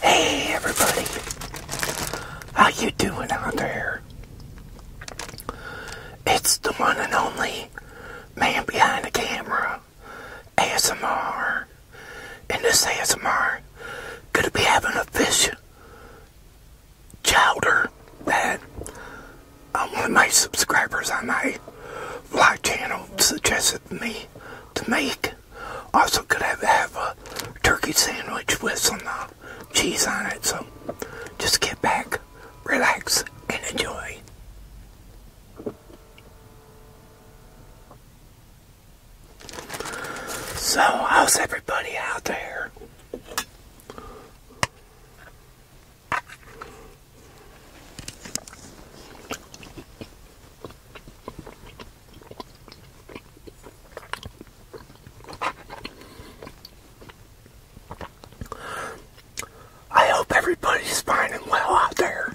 Hey everybody, how you doing out there? It's the one and only man behind the camera, ASMR. And this ASMR gonna be having a fish chowder that one of my subscribers on my vlog channel suggested me to make. Also, could have, have a turkey sandwich with some uh, cheese on it. So, just get back, relax, and enjoy. So, how's everybody out there? I hope everybody's fine and well out there.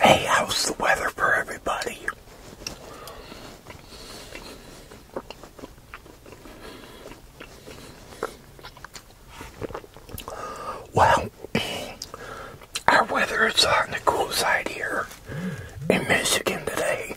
Hey, how's the weather for everybody? Well, our weather is on the cool side here in Michigan today.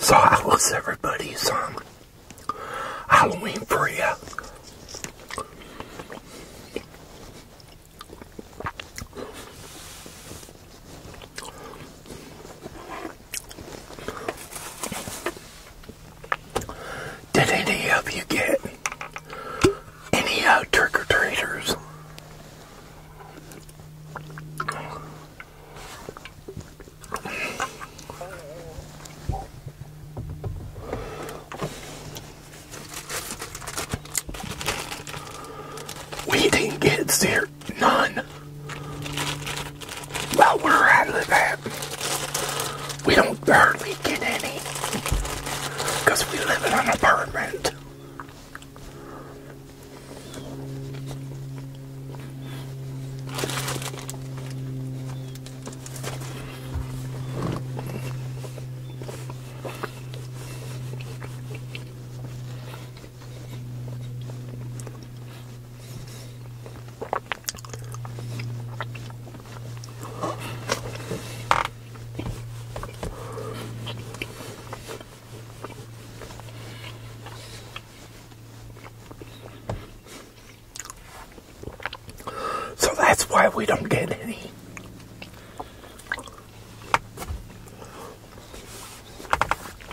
So how was everybody's um, Halloween for you? Did any of you get any out uh, trick or treaters? We didn't get zero none well we're out of that we don't hardly get any because we live in an apartment so that's why we don't get any.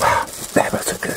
Wow, that was a good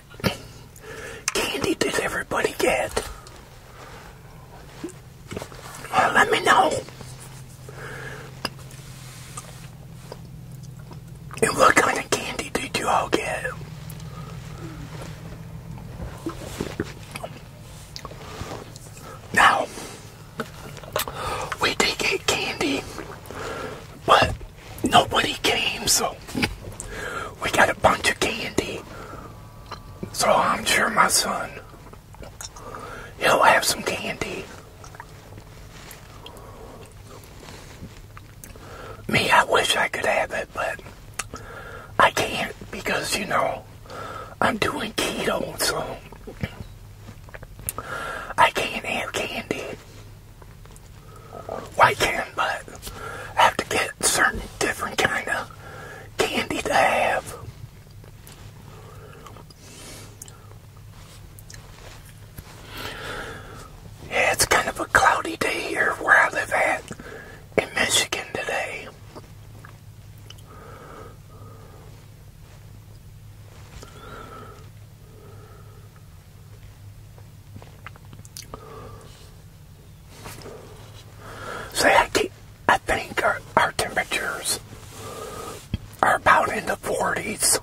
candy did everybody get? let me know. And what kind of candy did you all get? Now, we did get candy, What? nobody came, so we got a bunch of candy. So I'm sure my son, he'll have some candy. Me, I wish I could have it, but I can't because, you know, I'm doing keto, so I can't have candy. White I can, but I have to get certain different kind of candy to have. Yeah, it's kind of a cloudy day here where I live at in Michigan today. So I, keep, I think our, our temperatures are about in the 40s.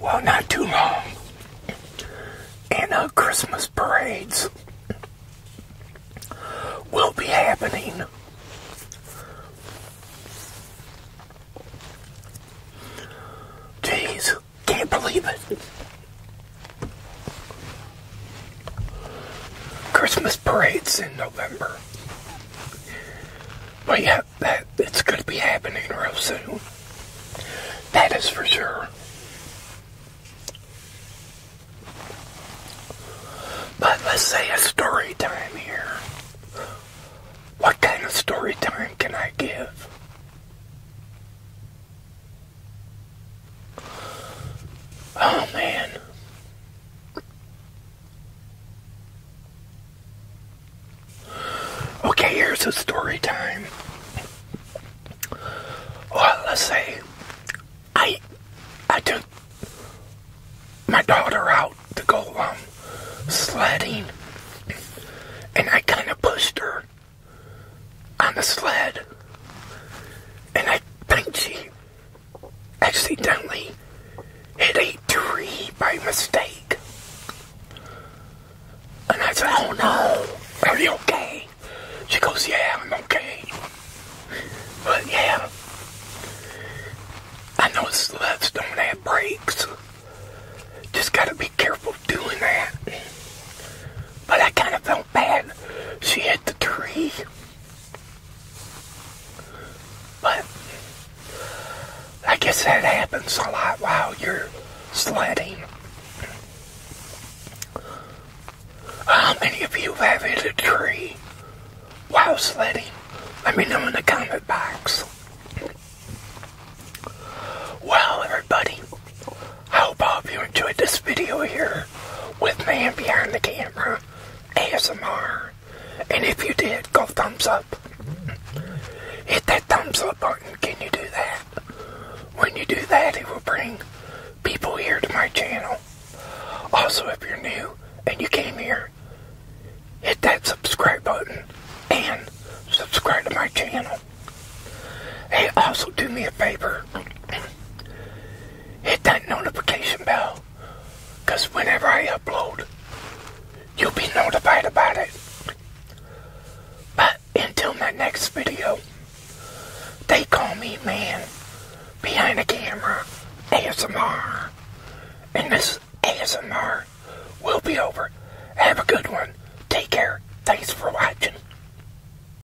Well, not too long. And uh, Christmas parades will be happening. Jeez, can't believe it. Christmas parades in November. But yeah, that it's going to be happening real soon. That is for sure. But let's say a story time here. What kind of story time can I give? Oh man. Okay, here's a story time. Well, let's say I I took my daughter out to go um, sledding, and I kind of pushed her on the sled, and I think she accidentally hit a tree by mistake. And I said, Oh no, are you okay? She goes, Yeah, I'm okay. But yeah, I know sleds don't have brakes. Just gotta be careful doing that. But I kind of felt bad. She hit the tree. But I guess that happens a lot while you're sledding. How many of you have hit a tree while sledding? Let me know in the comment box. Well, everybody, I hope all of you enjoyed this video here with Man Behind the Camera ASMR. And if you did, go thumbs up. Hit that thumbs up button. Can you do that? When you do that, it will bring people here to my channel. Also, if you're new and you came here, hit that subscribe button and subscribe to my channel. Hey, also do me a favor hit that notification bell because whenever I upload, you'll be notified about it. But until my next video, they call me man behind the camera ASMR. And this ASMR will be over. Have a good one. Take care. Thanks for watching.